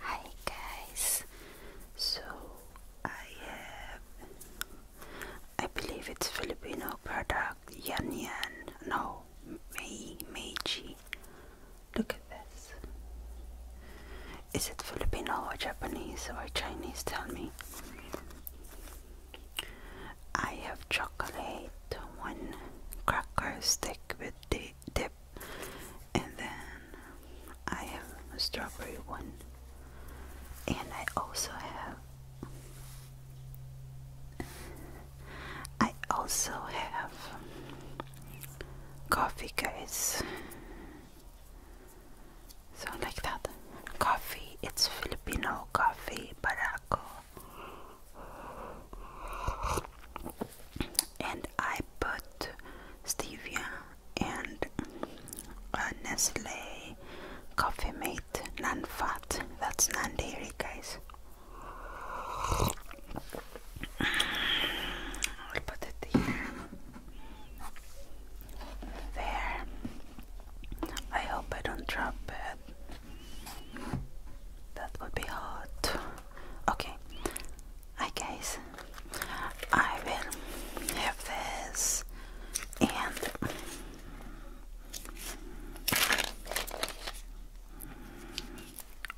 Hi guys, so I have, I believe it's Filipino product, Yan Yan, no, Mei, Meiji, look at this, is it Filipino or Japanese or Chinese, tell me, I have chocolate, one cracker stick with date dip and then I have a strawberry one and I also have I also have coffee guys so like that coffee it's Filipino coffee Barako and I put stevia and uh, Nestle Coffee Mate non-fat. That's non-dairy, guys. I'll put it There. I hope I don't drop it. That would be hot. Okay, I guess I will have this and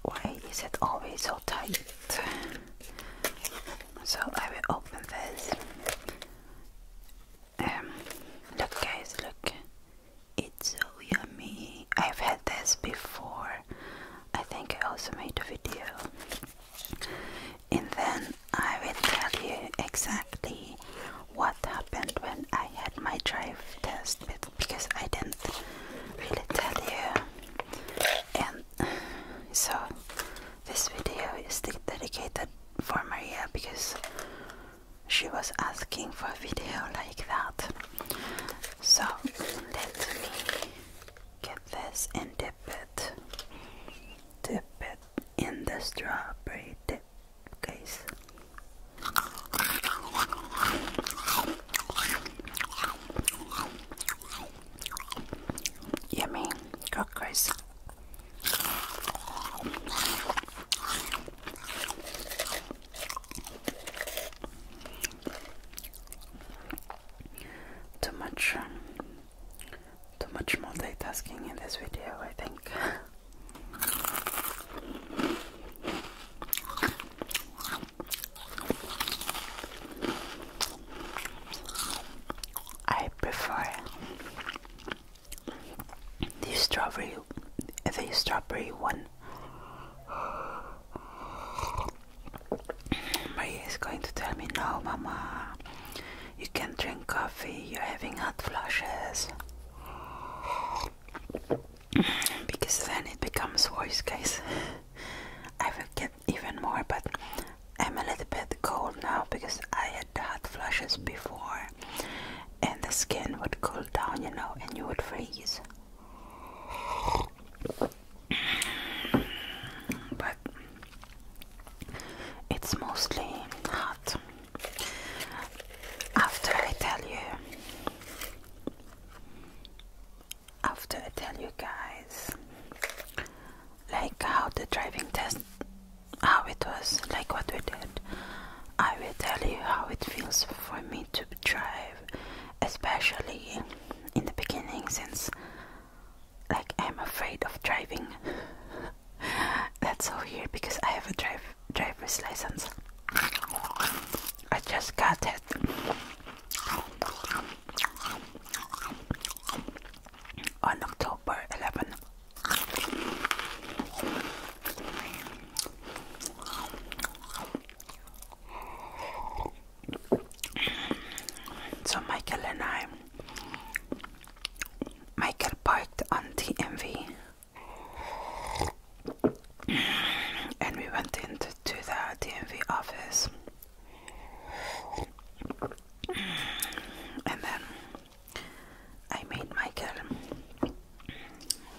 why is it always so tight? So I will open this. Um, look, guys, look, it's so yummy. I've had this before, I think I also made a video. And then I will tell you exactly what happened when I had my drive test because I didn't really tell you. And so this video is dedicated for Maria because she was asking for a video like that. So let me get this and dip it. Dip it in the strawberry dip, guys. Yummy crackers. Too much, um, too much multitasking in this video, I think. I prefer the strawberry, the strawberry one. Maria is going to tell me, no, Mama, you can't drink coffee, you're having hot flushes. Because then it becomes worse, case. I will get even more, but I'm a little bit cold now because I had hot flushes before, and the skin would cool down, you know, and you would freeze but it's mostly hot. After I tell you, after I tell you guys, like how the driving test, how it was, like what we did, I will tell you how it feels for me to drive especially in the beginning since like I'm afraid of driving. That's all here because I have a drive driver's license. I just got it. On October 11. So Michael and I, Michael parked on the MV, and we went into to the DMV office, and then I made Michael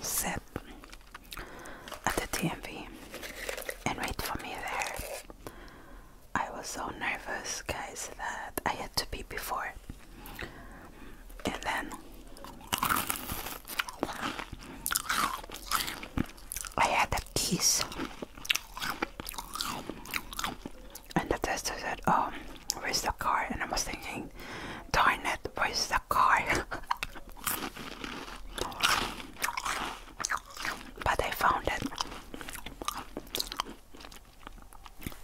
sit at the TMV and wait for me there. I was so nervous, guys, that I had to pee before. And then I had a kiss. And the tester said, Oh, where's the car? And I was thinking, darn it, where's the car? But I found it.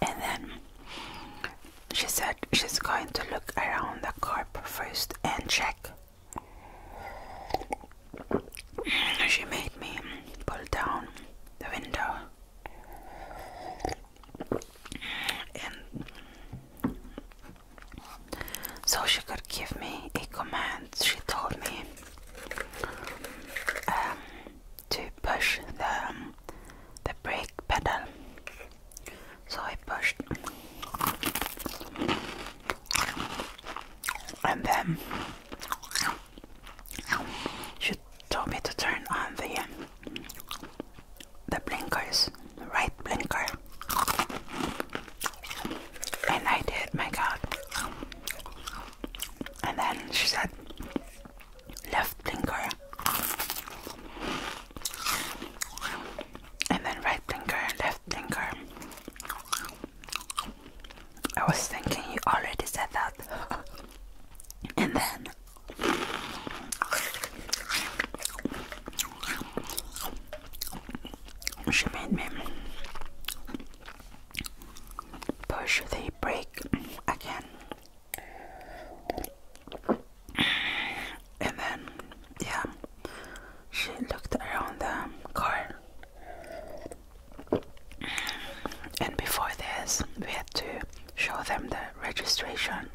And then she said she's going to look around the carp first and check. She made me pull down the window and so she could give me a command. She told me um, to push the, um, the brake pedal. So I pushed, and then she told me to turn on the um, the blinkers right blinker. And I did, my god. And then she said, left blinker. And then right blinker, left blinker. I was thinking you already said that. and then she made me push the brake again. And then, yeah, she looked around the car. And before this, we had to show them the registration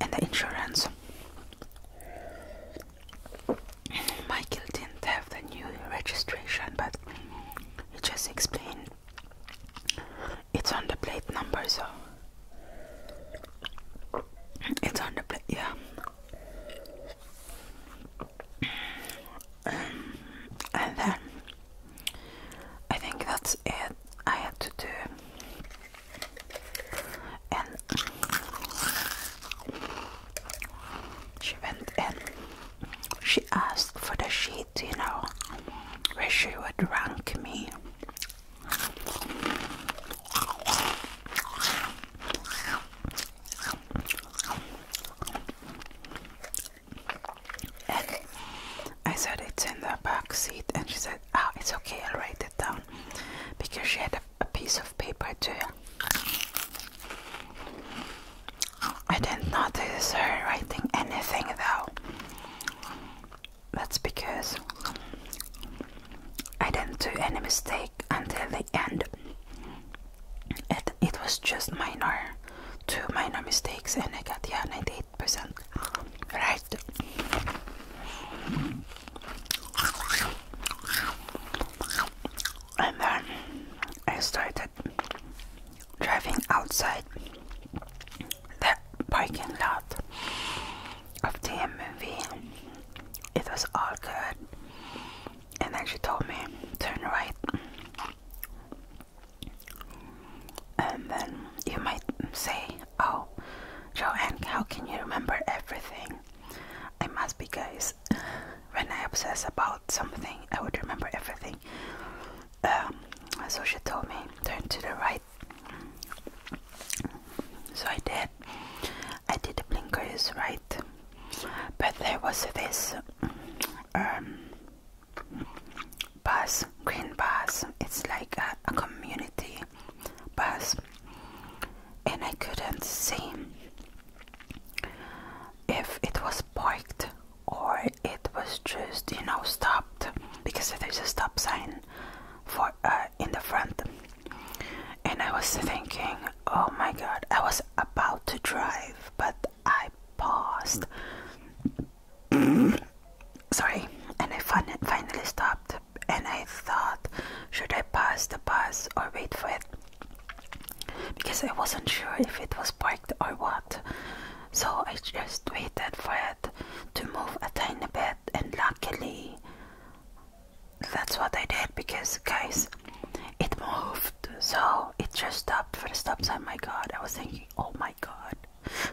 and the insurance. Michael didn't have the new registration, but he just explained it's on the plate number, so it's on the plate, yeah. Um, and then I think that's it. I had to do and she went in. she asked for the sheet, you know, where she would rank me. And I said it's in the back seat, and she said, "Ah, it's okay, I'll write down because she had a, a piece of paper too. I didn't notice her writing anything though. That's because I didn't do any mistake until the end. It, it was just minor, two minor mistakes, and I got yeah 98% right. And then I started driving outside the parking lot of the movie. It was all good. And then she told me, turn right. And then you might say, Oh, Joanne, how can you remember everything? I must be, guys. When I obsess about something, I would remember everything. Um, so she told me, turn to the right. So I did. I did the blinkers right. But there was this um, bus, green bus. It's like a community bus and I couldn't see if it was parked or it was just you know stopped because there's a stop sign for uh, in the front and I was thinking oh my god I was about to drive but I paused sorry and I fin finally stopped and I thought, should I pass the bus or wait for it? Because I wasn't sure if it was parked or what. So I just waited for it to move a tiny bit, and luckily, that's what I did because, guys, it moved. So it just stopped for the stop sign. Oh my god, I was thinking, oh my god.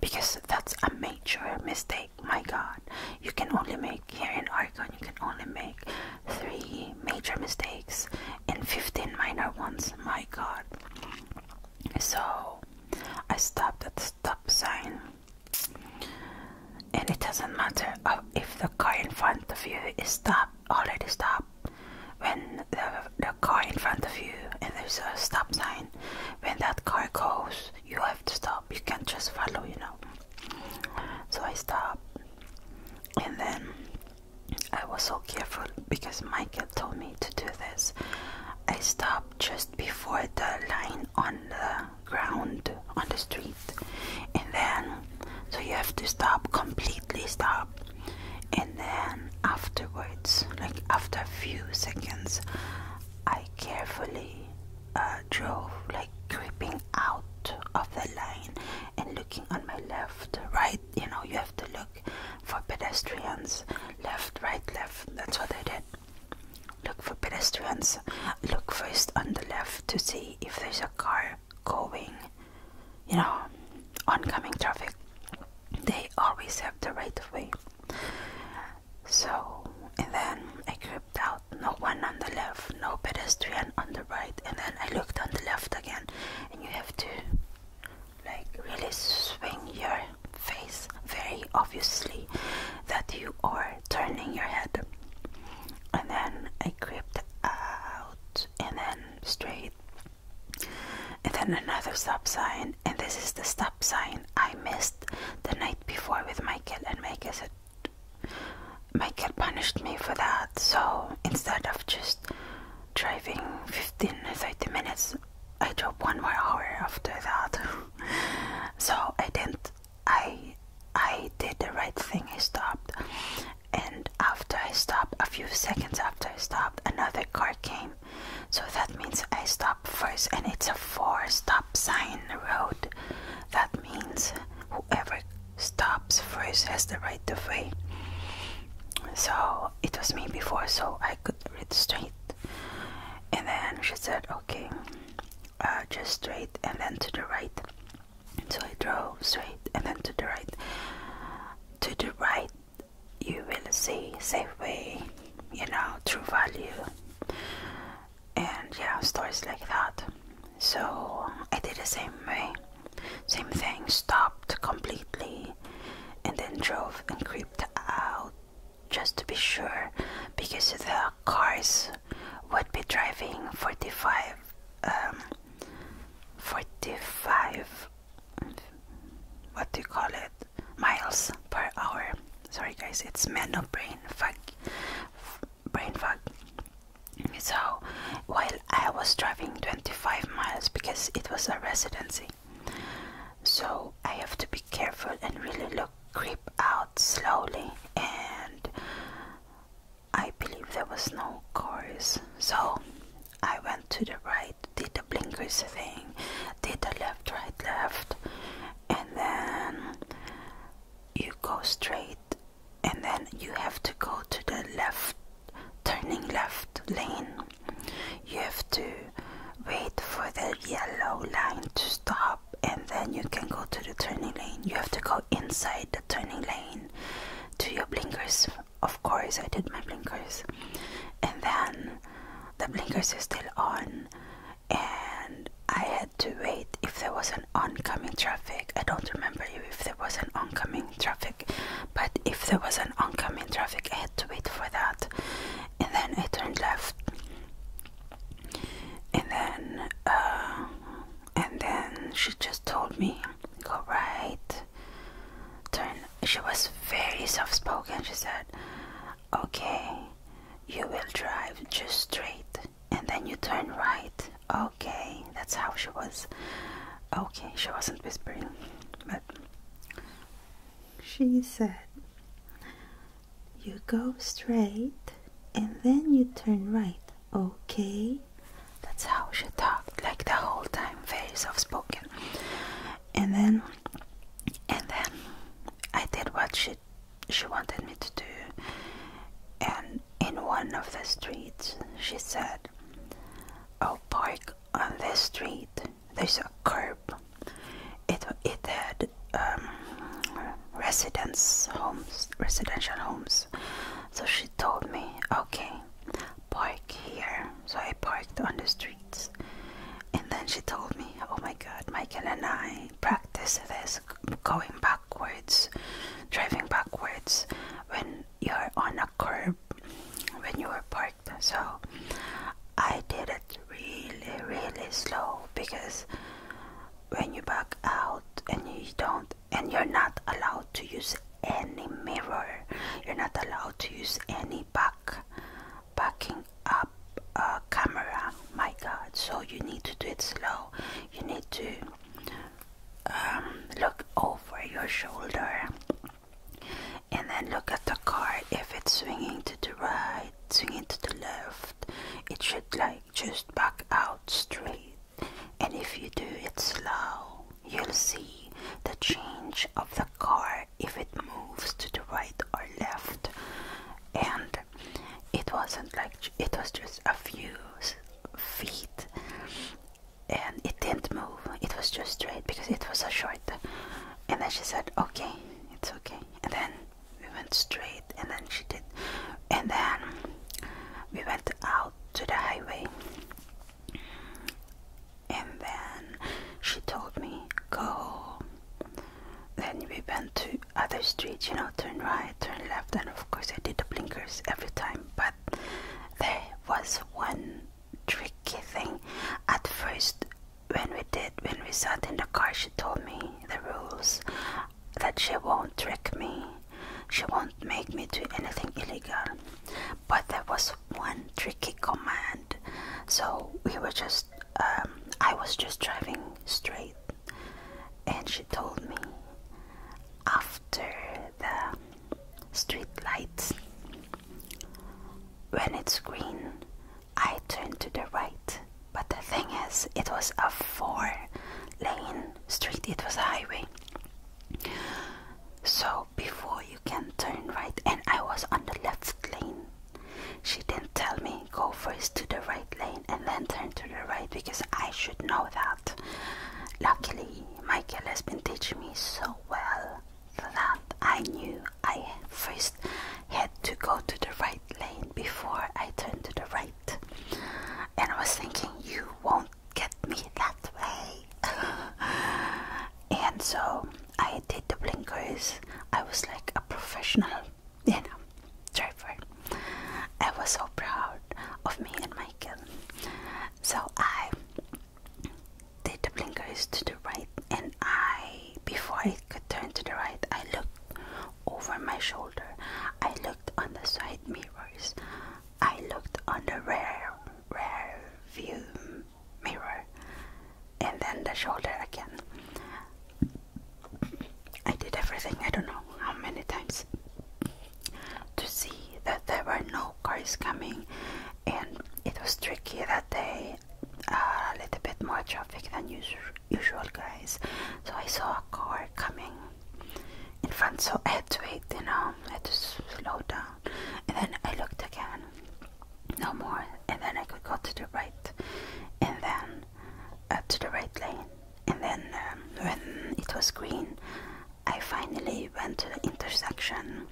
Because that's a major mistake my God, you can only make here in Argon, you can only make three major mistakes and 15 minor ones. My God. So I stopped at the stop sign, and it doesn't matter if the car in front of you is stopped, already stopped. When the, the car in front of you and there's a stop sign, when that car goes, you have to stop. You can't just follow, you know. So I stopped, and then I was so careful because Michael told me to do this. I stopped just before the line on the ground on the street, and then so you have to stop completely stop, and then afterwards, like after a few seconds, I carefully uh, drove like creeping out of the lane and looking on my left, right. You know, you have to look for pedestrians, left, right, left. That's what they did. Look for pedestrians. Look first on the left to see if there's a car going, you know, oncoming traffic. They always have the right of way. So, and then I crept out. No one on the left, no pedestrian on the right. And then I looked on the left again. And you have to, like, really swing your face very obviously that you are turning your head. And then I crept out, and then straight, and then another stop sign. And this is the stop sign I missed the night before with Michael, and Michael said, Michael punished me for that. So instead of just driving 15 30 minutes, I drove one more hour after that. so I didn't, I, I did the right thing. I stopped, and after I stopped, a few seconds after I stopped, another car came so that means I stop first and it's a four stop sign road that means whoever stops first has the right of way so it was me before so I could read straight and then she said okay uh, just straight and then to the right so I drove straight and then to the right to the right you will see Safeway you know true value and yeah, stories like that. So I did the same way, same thing, stopped completely and then drove and creeped out just to be sure because the cars would be driving 45 um, 45 what do you call it miles per hour. Sorry, guys, it's meno brain fog. Brain fog. So, while I was driving 25 miles because it was a residency, so I have to be careful and really look, creep out slowly. And I believe there was no cars, so I went to the right, did the blinkers thing, did the left, right, left, and then you go straight and then you have to go to the left turning left lane you have to wait for the yellow line to stop and then you can go to the turning lane you have to go inside the turning lane to your blinkers of course i did my blinkers and then the blinkers are still on and I had to wait if there was an oncoming traffic. I don't remember if there was an oncoming traffic, but if there was an oncoming traffic, I had to wait for that. And then I turned left, and then uh, and then she just told me go right, turn. She was very soft spoken. She said, Okay, you will drive just straight and then you turn right. Okay, that's how she was. Okay, she wasn't whispering, but she said, You go straight and then you turn right. Okay, that's how she talked, like the whole time, very soft spoken. And then, and then I did what she she wanted me to do and in one of the streets she said oh park on this street there's a curb it it had um, residence homes residential homes so she told me okay park here so i parked on the street and then she told me, Oh my god, Michael and I practice this going backwards, driving backwards when you're on a curb when you are parked. So I did it really, really slow because when you back out and you don't, and you're not allowed to use any mirror, you're not allowed to use any back backing up a camera my god so you need to do it slow you need to um, look over your shoulder and then look at the car if it's swinging to the right swing it to the left it should like just back out straight and if you do it slow you'll see the change of the car if it moves to the right or left and it wasn't like it was just a few feet and it didn't move it was just straight because it was a short and then she said okay it's okay and then we went straight and then she did and then we went out to the highway and then she told me go then we went to other streets, you know, turn right, turn left, and of course I did the blinkers every time. But there was one tricky thing. At first, when we did, when we sat in the car, she told me the rules that she won't trick me, she won't make me do anything illegal. But there was one tricky command so we were just, um, I was just driving straight, and she told me after the street lights, when it's green, I turn to the right. But the thing is, it was a four lane street, it was a highway. So before you can turn right, and I was on the left lane, she didn't tell me go first to the right lane and then turn to the right because I should know that. Luckily, Michael has been teaching me so well that I knew I first had to go to the right lane before I turn to the right. And I was thinking, you won't get me that way. and so I did the blinkers. I was like a professional, you know, driver. I was so proud of me and my kid. So I did the blinkers to the right, and I, before I could turn to the right, I looked over my shoulder. I looked on the side mirrors. I looked on the rear rear view mirror and then the shoulder again. I did everything, I don't know how many times, to see that there were no cars coming, and it was tricky that day, uh, a little bit more traffic than usual, usual, guys. So I saw a car coming in front, so I had to wait, you know, I had to slow down, and then I looked again, no more, and then I could go to the right, and then up uh, to the right lane. And then um, when it was green, I finally went to the intersection,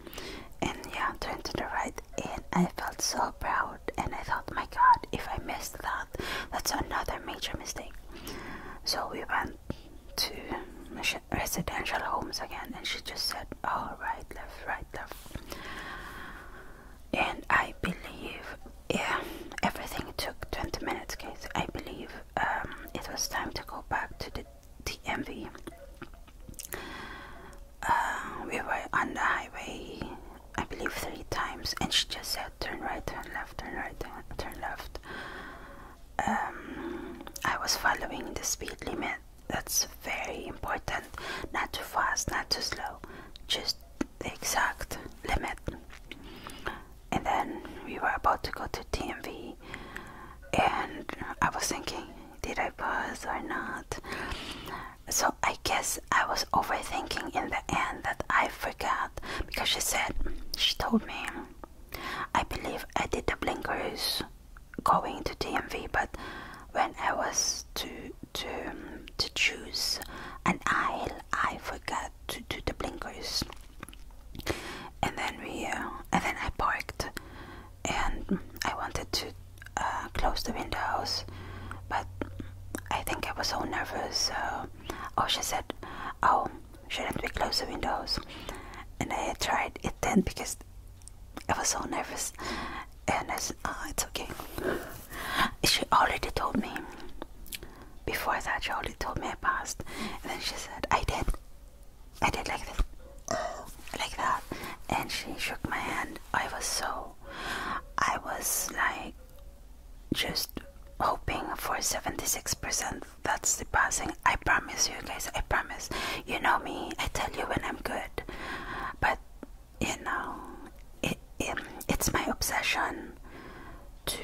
and yeah, turned to the right, and I felt so proud. And I thought, my God, if I missed that, that's another major mistake. So we went to residential homes again, and she just said, "All right, left, right, left." and I believe yeah everything took 20 minutes Cause I believe um, it was time to go back to the DMV uh, we were on the highway I believe three times and she just said turn right turn left turn right turn left um, I was following the speed limit that's very important not too fast not too slow just the exact limit and then we were about to go to DMV, and I was thinking did I pause or not so I guess I was overthinking in the end that I forgot because she said she told me I believe I did the blinkers going to DMV, but when I was to to um, to choose an aisle, I forgot to do the blinkers, and then we uh, and then I parked, and I wanted to uh, close the windows, but I think I was so nervous. oh, she said, "Oh, shouldn't we close the windows?" And I tried it then because I was so nervous, and I said, oh, it's okay. She already told me. Before that, she already told me I passed, and then she said, I did. I did like this, like that, and she shook my hand. I was so, I was like, just hoping for 76%. That's the passing. I promise you guys, I promise. You know me, I tell you when I'm good, but you know, it, it, it's my obsession to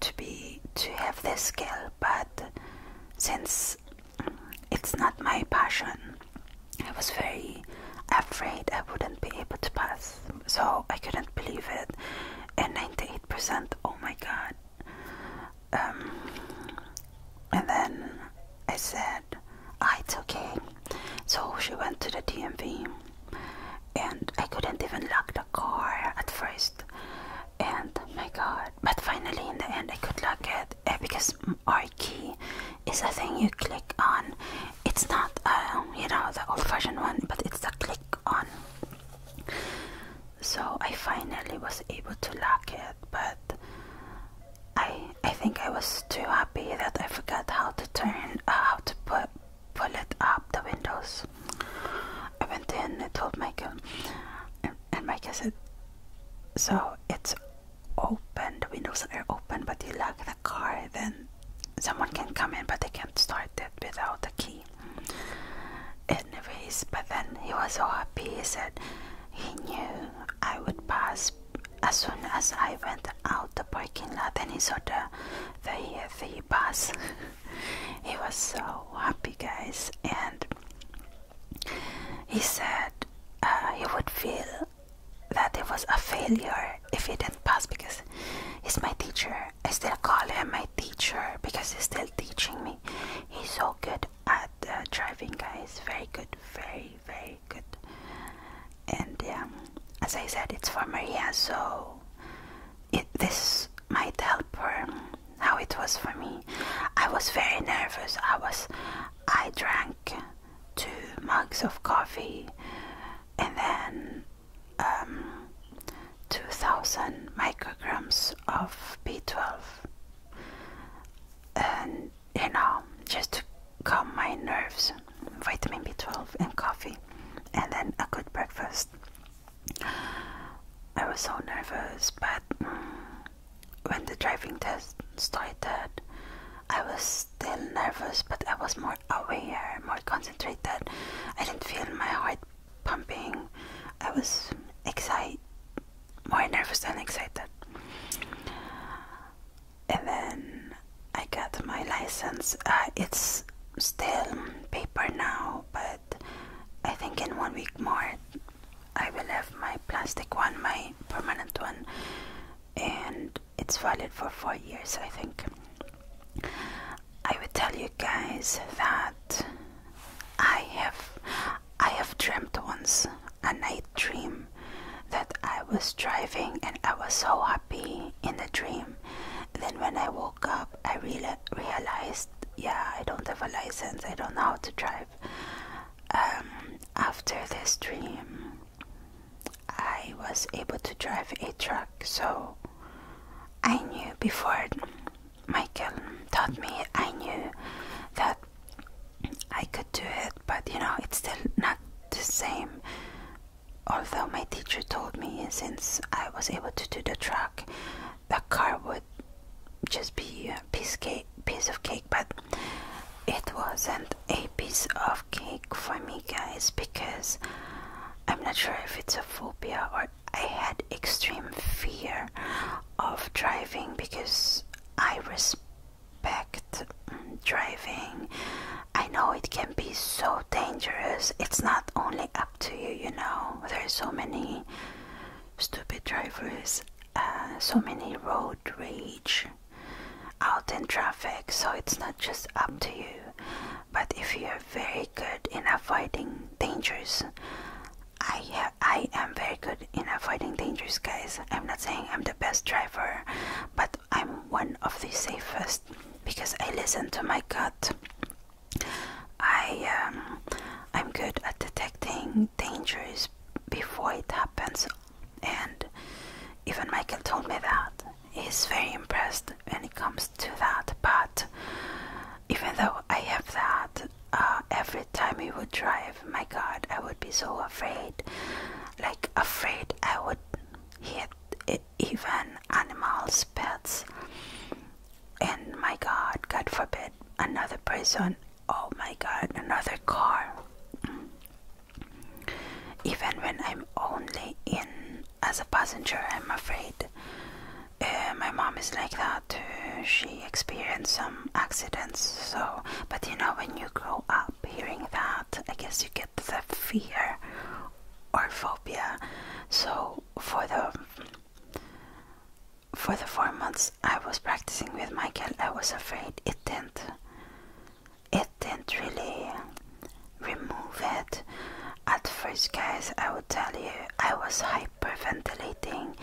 to be to have this skill, but since it's not my passion, I was very afraid I wouldn't be able to pass. So I couldn't believe it. And 98%, oh my god. Um, and then I said Ah, it's okay. So she went to the DMV, and I couldn't even lock the car at first. And my god, but finally, in the end, I could lock it eh, because our key is a thing you click on. It's not, uh, you know, the old fashioned one, but it's the click on. So I finally was able to lock it, but I I think I was too happy that I forgot how to turn uh, how to put pull it up the windows. I went in and told Michael, and, and Michael said, "So it's open. The windows are open, but you lock the car. Then someone can come in, but they can't start it without the key." Anyways, but then he was so happy. He said he knew I would pass as soon as I went out the parking lot and he saw the the, the bus, he was so happy, guys, and he said uh, he would feel that it was a failure if he didn't pass because he's my teacher. I still call him my teacher because he's still teaching me. He's so good at uh, driving, guys. Very good, very very good. And yeah, um, as I said, it's for Maria, so it, this might help her um, how it was for me. I was very nervous. I was, I drank two mugs of coffee, and then um, 2,000 micrograms of B12, and you know, just to calm my nerves, vitamin B12 and coffee, and then a good breakfast. I was so nervous, but mm, when the driving test started, I was still nervous, but I was more aware, more concentrated. I didn't feel my heart pumping. I was excited, more nervous than excited and then I got my license. Uh, it's still paper now, but I think in one week more I will have my plastic one, my permanent one, and it's valid for four years, I think. I will tell you guys that I have I have dreamt once a night dream, that I was driving and I was so happy in the dream. Then when I woke up, I reala realized, yeah, I don't have a license, I don't know how to drive. Um, after this dream, I was able to drive a truck, so I knew before Michael taught me, I knew that I could do it, but you know, it's still not the same. Although my teacher told me since I was able to do the truck, the car would just be a piece, cake, piece of cake, but it wasn't a piece of cake for me, guys, because I'm not sure if it's a phobia or I had extreme fear of driving because I was backed driving. I know it can be so dangerous. It's not only up to you, you know. There's so many stupid drivers, uh, so many road rage out in traffic. So it's not just up to you. But if you're very good in avoiding dangers, I I am very good in avoiding dangers, guys. I'm not saying I'm the best driver, but I'm one of the safest because I listen to my gut. I um, I'm good at detecting dangers before it happens, and even Michael told me that he's very impressed when it comes to that. But even though I have that, uh, every time we would drive my God, I would be so afraid. Like, afraid I would hit even animals, pets. And my God, God forbid, another person. Oh my God, another car. Even when I'm only in as a passenger, I'm afraid. Uh, my mom is like that. Uh, she experienced some accidents. So, but you know, when you grow up, hearing that. I guess you get the fear or phobia. So for the for the four months I was practicing with Michael, I was afraid it didn't it didn't really remove it. At first, guys, I will tell you I was hyperventilating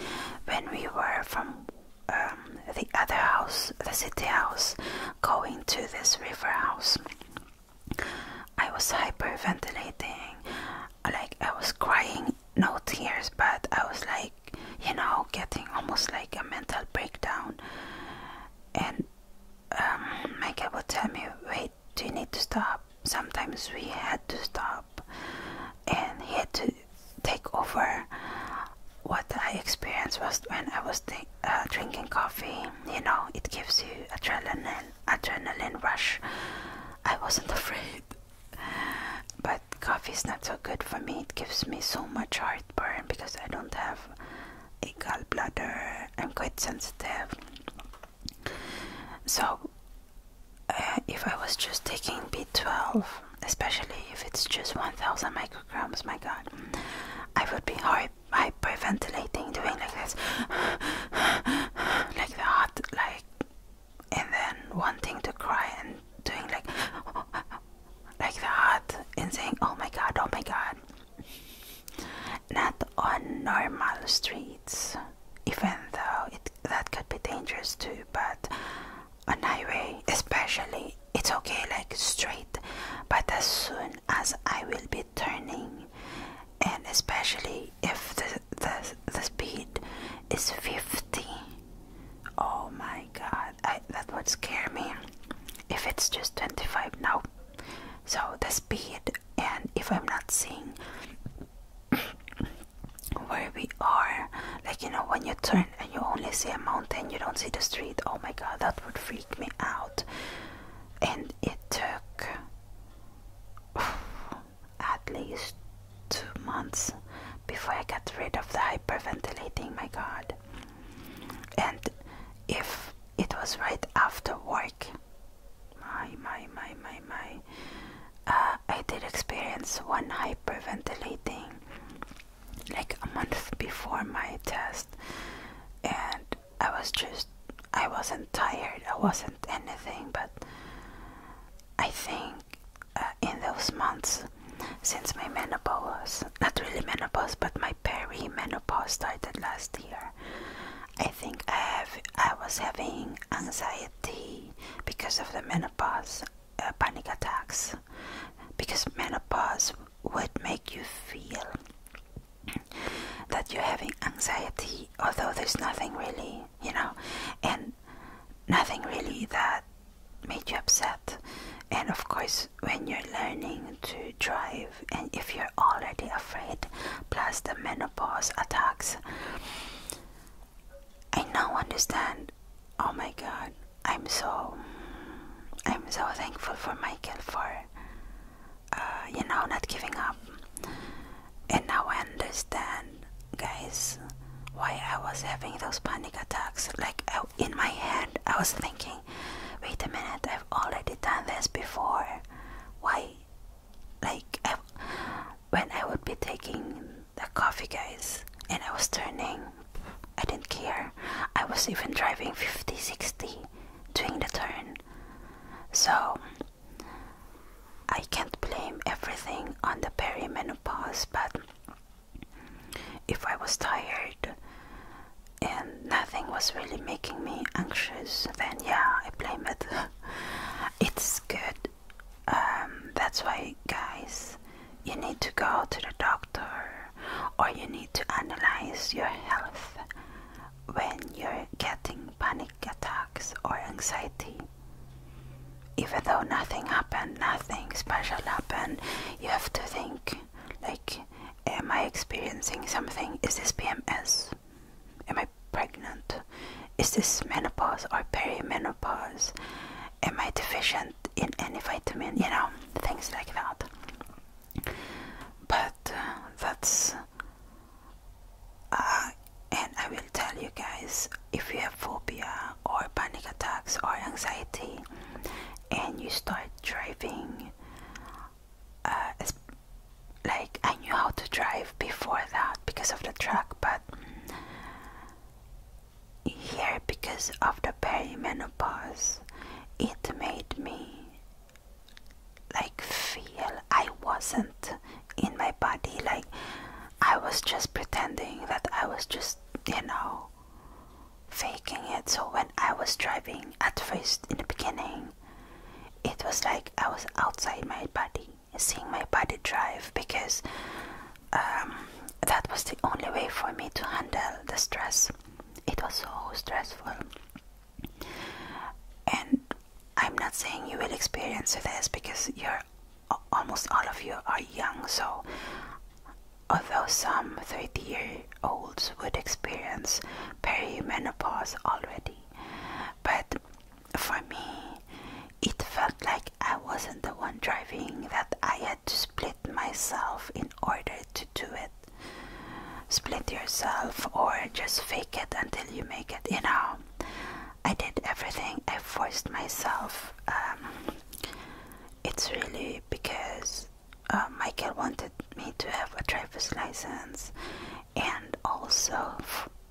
when we were from um, the other house, the city house, going to this river house. I was hyperventilating, like I was crying, no tears, but I was like, you know, getting almost like a mental breakdown. And Michael um, would tell me, wait, do you need to stop? Sometimes we had to stop, and he had to take over. What I experienced was when I was uh, drinking coffee. You know, it gives you adrenaline, adrenaline rush. I wasn't afraid, but coffee is not so good for me. It gives me so much heartburn because I don't have a gallbladder. I'm quite sensitive. So, uh, if I was just taking B12 especially if it's just 1000 micrograms. My god, I would be hyperventilating doing like this, like that, like, and then wanting to cry and doing like, like that, and saying, Oh my god, oh my god. Not on normal streets, even though it that could be dangerous too, but on highway especially it's okay like straight but as soon as i will be turning and especially if the the, the speed is 50 oh my god that would scare me if it's just 25 now so the speed and if i'm not seeing where we are like you know when you turn and you only see a mountain, you don't see the street. Oh my god, that would freak me out. And it took at least two months before I got rid of the hyperventilating. My god. And if it was right after work, my, my, my, my, my, uh, I did experience one hyperventilating like a month before my test and I was just I wasn't tired I wasn't anything but I think uh, in those months since my menopause not really menopause but my peri-menopause started last year I think I have I was having anxiety because of the menopause uh, panic attacks because menopause would make you feel that you're having anxiety, although there's nothing really, you know, and nothing really that made you upset. And of course, when you're learning to drive, and if you're already afraid, plus the menopause attacks, I now understand. Oh my god, I'm so I'm so thankful for Michael for uh, you know not giving up and now I understand guys why I was having those panic attacks like in my head I was thinking wait a minute I've already done this before why like when I would be taking the coffee guys and I was turning I didn't care. I was even driving 50, 60, doing the turn. So I can't blame everything on the perimenopause, but if I was tired and nothing was really making me anxious, then yeah, I blame it. it's good. Um, that's why, guys, you need to go to the doctor or you need to analyze your health when you're getting panic attacks or anxiety. Even though nothing happened, nothing special happened, you have to think like, am I experiencing something? Is this PMS? Am I pregnant? Is this menopause or perimenopause? am I deficient in any vitamin? You know, things like that. But uh, that's. Uh, and I will tell you guys if you have phobia or panic attacks or anxiety and you start driving. Uh, like I knew how to drive before that because of the truck, but here because of the perimenopause it made me like feel I wasn't in my body like I was just pretending that I was just you know faking it so when I was driving at first in the beginning it was like I was outside my body seeing my body drive because um, that was the only way for me to handle the stress. It was so stressful. And I'm not saying you will experience this because you're almost all of you are young, so although some 30 year olds would experience perimenopause already, but for me, it felt like I wasn't the one driving, that I had to split myself in order to do it. Split yourself or just fake it until you make it. You know, I did everything, I forced myself. Um, it's really because uh, Michael wanted me to have a driver's license and also,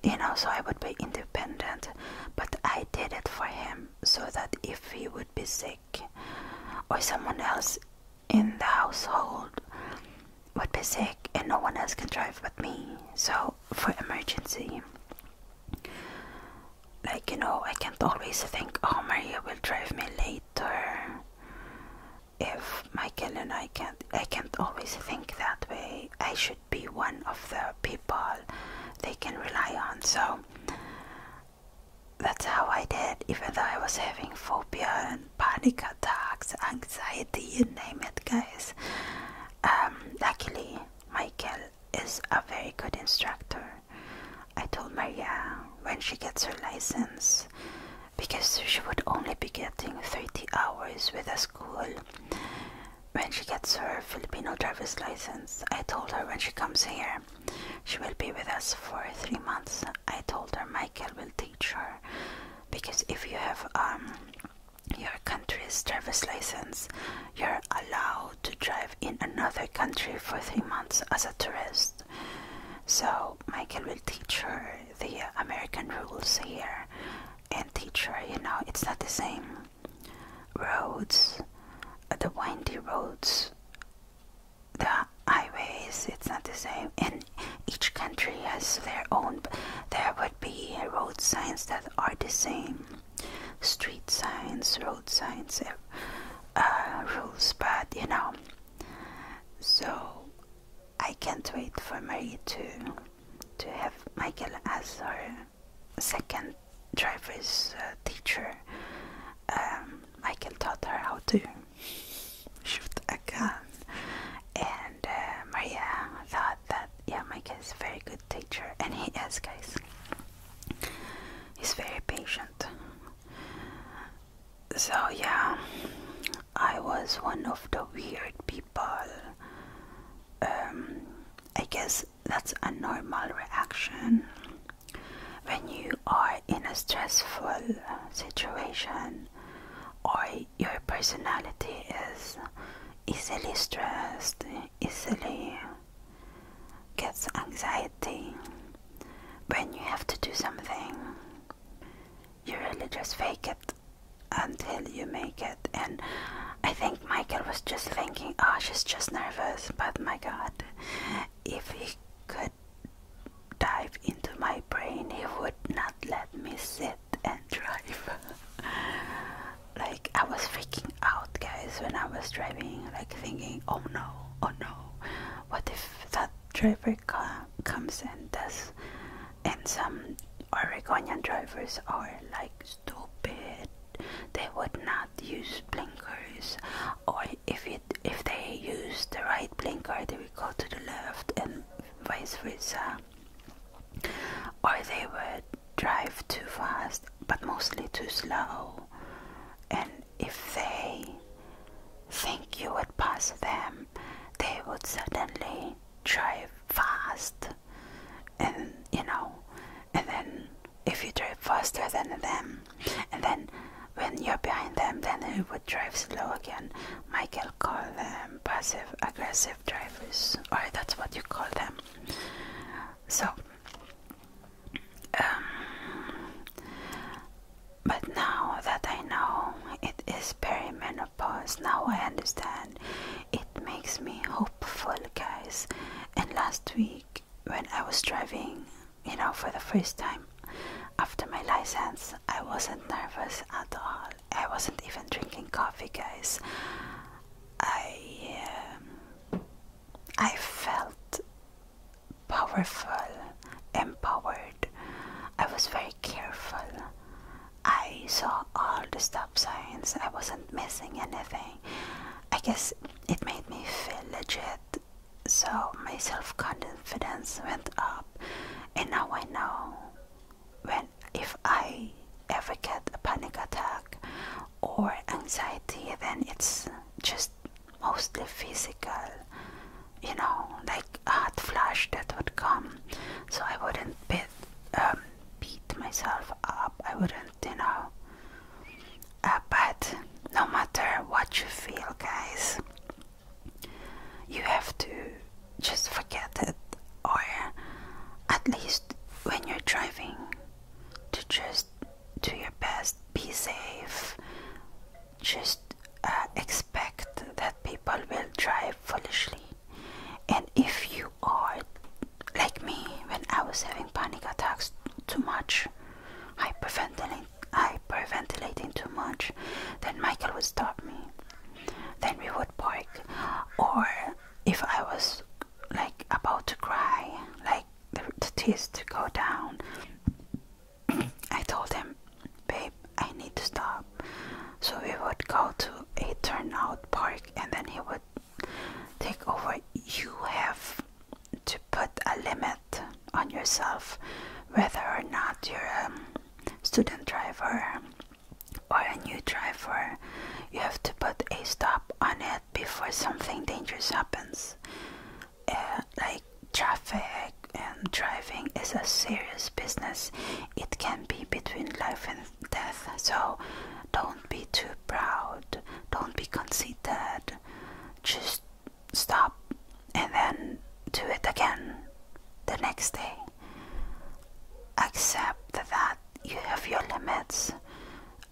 you know, so I would be independent. But I did it for him so that if he would be sick, or someone else in the household would be sick and no one else can drive but me. So for emergency like you know I can't always think oh Maria will drive me later if Michael and I can't I can't always think that way. I should be one of the people they can rely on. So that's how I did, even though I was having phobia and panic attacks, anxiety, you name it, guys. Um, luckily, Michael is a very good instructor. I told Maria when she gets her license because she would only be getting 30 hours with a school when she gets her Filipino driver's license. I told her when she comes here, she will be with us for three months. I told her Michael will teach her because if you have um, your country's driver's license, you're allowed to drive in another country for three months as a tourist. So Michael will teach her the American rules here and teach her, you know, it's not the same roads, the windy roads, the highways, it's not the same. And each country has their own, there would be road signs that are the same street signs, road signs, uh, rules, but you know. So I can't wait for Marie to to have Michael as her second driver's uh, teacher, um, Michael taught her how to shoot a gun, and uh, Maria thought that yeah, Michael is a very good teacher, and he is, guys. He's very patient. So yeah, I was one of the weird people. Um, I guess that's a normal reaction when you are in a stressful situation or your personality is easily stressed, easily gets anxiety. When you have to do something, you really just fake it until you make it. And I think Oh, Michael was just thinking, oh, she's just nervous, but my god, if he could dive into my brain, he would not let me sit and drive. like, I was freaking out, guys, when I was driving, like thinking, oh no, oh no, what if that driver com comes and does, and some Oregonian drivers are like stupid they would not use blinkers or if it if they use the right blinker they would go to the left and vice versa or they would drive too fast but mostly too slow and if they think you would pass them they would suddenly drive fast and you know and then if you drive faster than them, and then when you're behind them, then it would drive slow again. Michael called them passive aggressive drivers, or that's what you call them. So, um, but now that I know it is perimenopause, now I understand. It makes me hopeful, guys. And last week when I was driving, you know, for the first time after my license, I wasn't nervous at all. I wasn't even drinking coffee, guys. I um, I felt powerful, empowered. I was very careful. I saw all the stop signs. I wasn't missing anything. I guess it made me feel legit, so my self confidence went up, and now I know when if I ever get a panic attack or anxiety, then it's just mostly physical, you know, like a hot flash that would come, so I wouldn't beat, um, beat myself up, I wouldn't you know. Uh, but no matter what you feel, guys, you have to just forget it, or at least when you're driving, to just do your best, be safe, just uh, expect that people will drive foolishly. And if you are like me, when I was having panic attacks too much, hyperventilating, hyperventilating too much, then Michael would stop me. Then we would park, or if I was like about to cry, like the tears to go down, I told him, "Babe, I need to stop." So we would go to a turnout park, and then he would take over. You have to put a limit on yourself whether or not you're a student driver or a new driver you have to put a stop on it before something dangerous happens uh, like traffic and driving is a serious business it can be between life and death so don't be too proud. Don't be conceited. Just stop and then do it again the next day. Accept that you have your limits.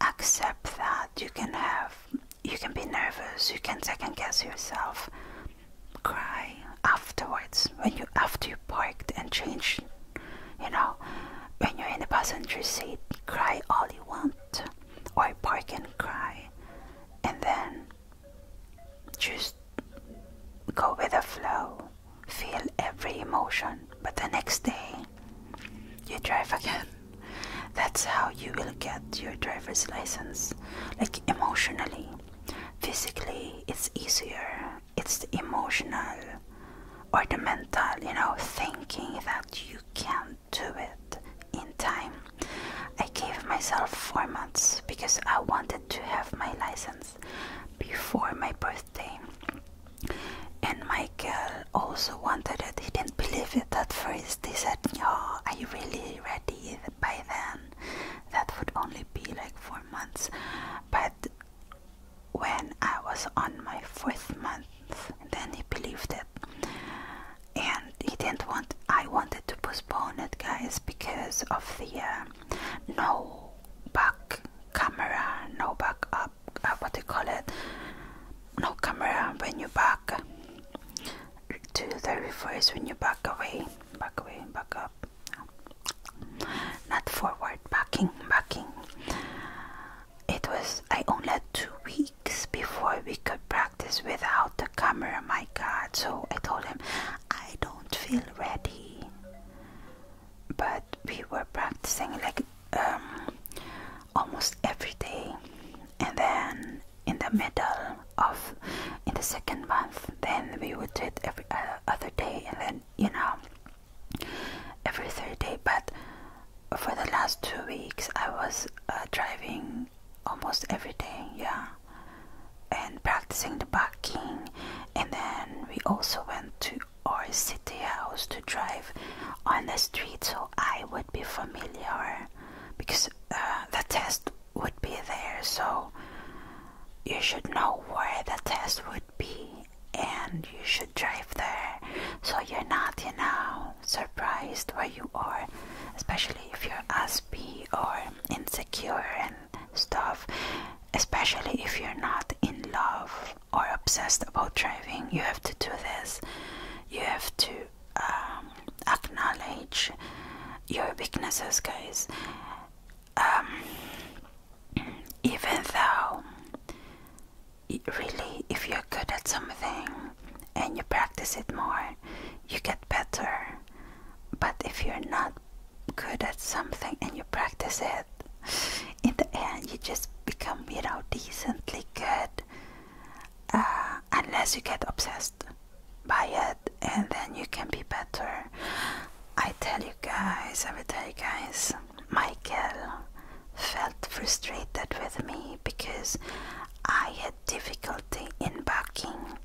Accept that you can have you can be nervous, you can second guess yourself. Cry afterwards when you after you parked and changed you know when you're in the passenger seat cry all you want or park and cry and then just go with the flow feel every emotion but the next day you drive again that's how you will get your driver's license like emotionally physically it's easier it's the emotional or the mental you know thinking that you can not to it in time. I gave myself four months because I wanted to have my license before my birthday. And Michael also wanted it. He didn't believe it at first. He said, Oh, are you really ready by then? That would only be like four months. But when I was on my fourth month, and then he believed it and he didn't want I wanted to postpone it guys because of the uh, no back camera no back up uh, what do you call it no camera when you back to the reverse when you back away back away back up not forward backing backing it was I only had two weeks before we could practice without the camera, my God. So I told him, I don't feel ready. But we were practicing like um, almost every day, and then in the middle of in the second month, then we would do it every uh, other day, and then you know, every third day but for the last two weeks i was uh, driving almost every day yeah and practicing the backing and then we also went to our city house to drive on the street so i would be familiar because uh, the test would be there so you should know where the test would be and you should drive there so you're not, you know, surprised where you are, especially if you're asp or insecure and stuff, especially if you're not in love or obsessed about driving. You have to do this, you have to um, acknowledge your weaknesses, guys. Um, even though really, if you're good at something and you practice it more, you get better. But if you're not good at something and you practice it, in the end, you just become, you know, decently good. Uh, unless you get obsessed by it and then you can be better. I tell you guys, I will tell you guys. Michael felt frustrated with me because I had difficulty in parking,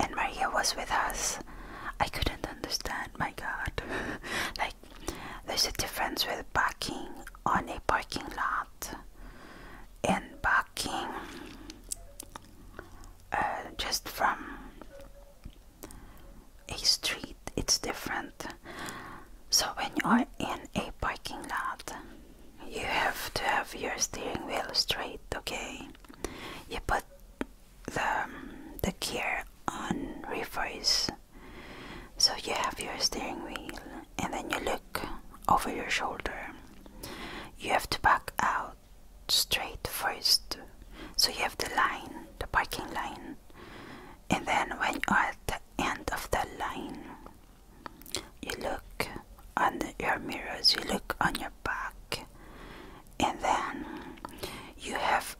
and Maria was with us. I couldn't understand, my god. like, there's a difference with parking on a parking lot and parking uh, just from a street, it's different. So when you are in a parking lot, you have to have your steering wheel straight, okay? You put the the gear on reverse. So you have your steering wheel and then you look over your shoulder. You have to back out straight first. So you have the line, the parking line. And then when you are at the end of the line. You look on the, your mirrors, you look on your back, and then you have,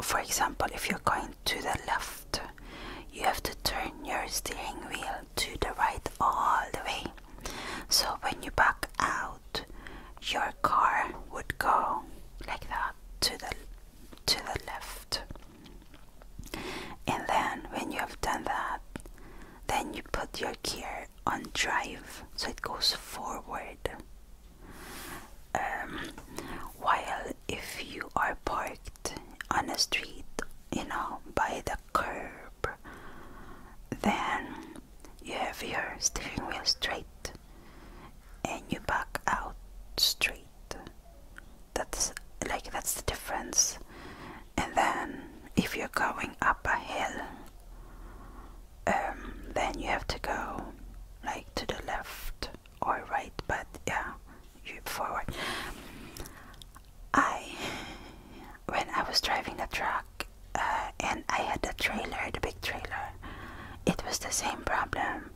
for example, if you're going to the left, you have to turn your steering wheel to the right all the way. So when you back out, your car would go like that to the to the left. And then when you have done that, then you put your gear on drive so it goes forward. Um, while if you are parked on a street, you know, by the curb, then you have your steering wheel straight and you back out straight. That's like that's the difference. And then if you're going up a hill, um, then you have to go like to the left or right, but yeah, you forward. I when I was driving the truck uh, and I had the trailer, the big trailer, it was the same problem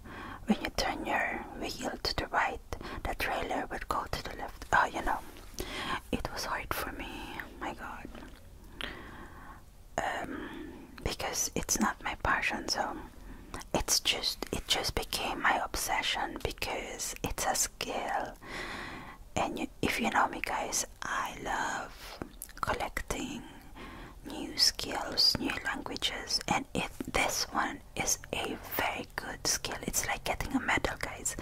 when you turn your wheel to the right, the trailer would go to the left. Oh, you know, it was hard for me. My God, um, because it's not my passion, so it's just it just became my obsession because it's a skill. And if you know me, guys, I love collecting new skills, new languages, and if this one is a very good skill. It's like getting a medal, guys.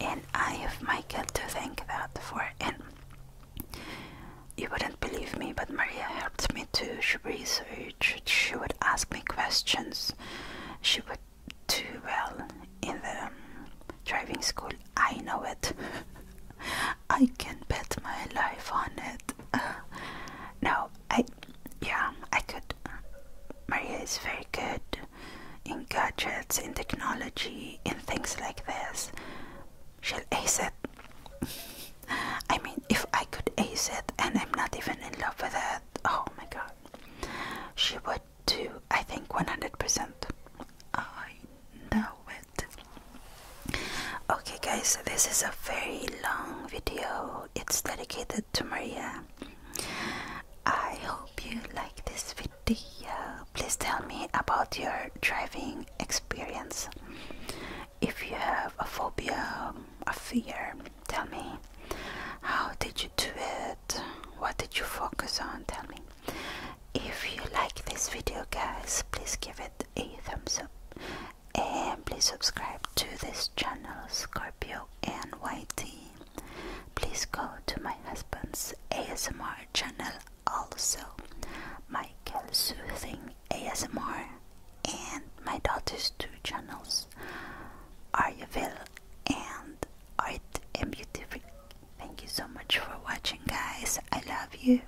And I have Michael to thank that for. And you wouldn't believe me, but Maria helped me to research. She would ask me questions. She would do well in the um, driving school. I know it. I can bet my life on it. now, I I, yeah, I could. Maria is very good in gadgets, in technology, in things like this. She'll ace it. I mean, if I could ace it and I'm not even in love with it, oh my god. She would do, I think, 100%. I know it. Okay, guys, this is a very long video. It's dedicated to Maria. I hope you like this video. Please tell me about your driving experience. If you have a phobia, a fear, tell me. How did you do it? What did you focus on? Tell me. If you like this video, guys, please give it a thumbs up and please subscribe to this channel Scorpio NYT. Please go to my husband's ASMR channel also, Michael Soothing ASMR, and my daughter's two channels, Aryaville and Art and Beauty. Thank you so much for watching, guys. I love you.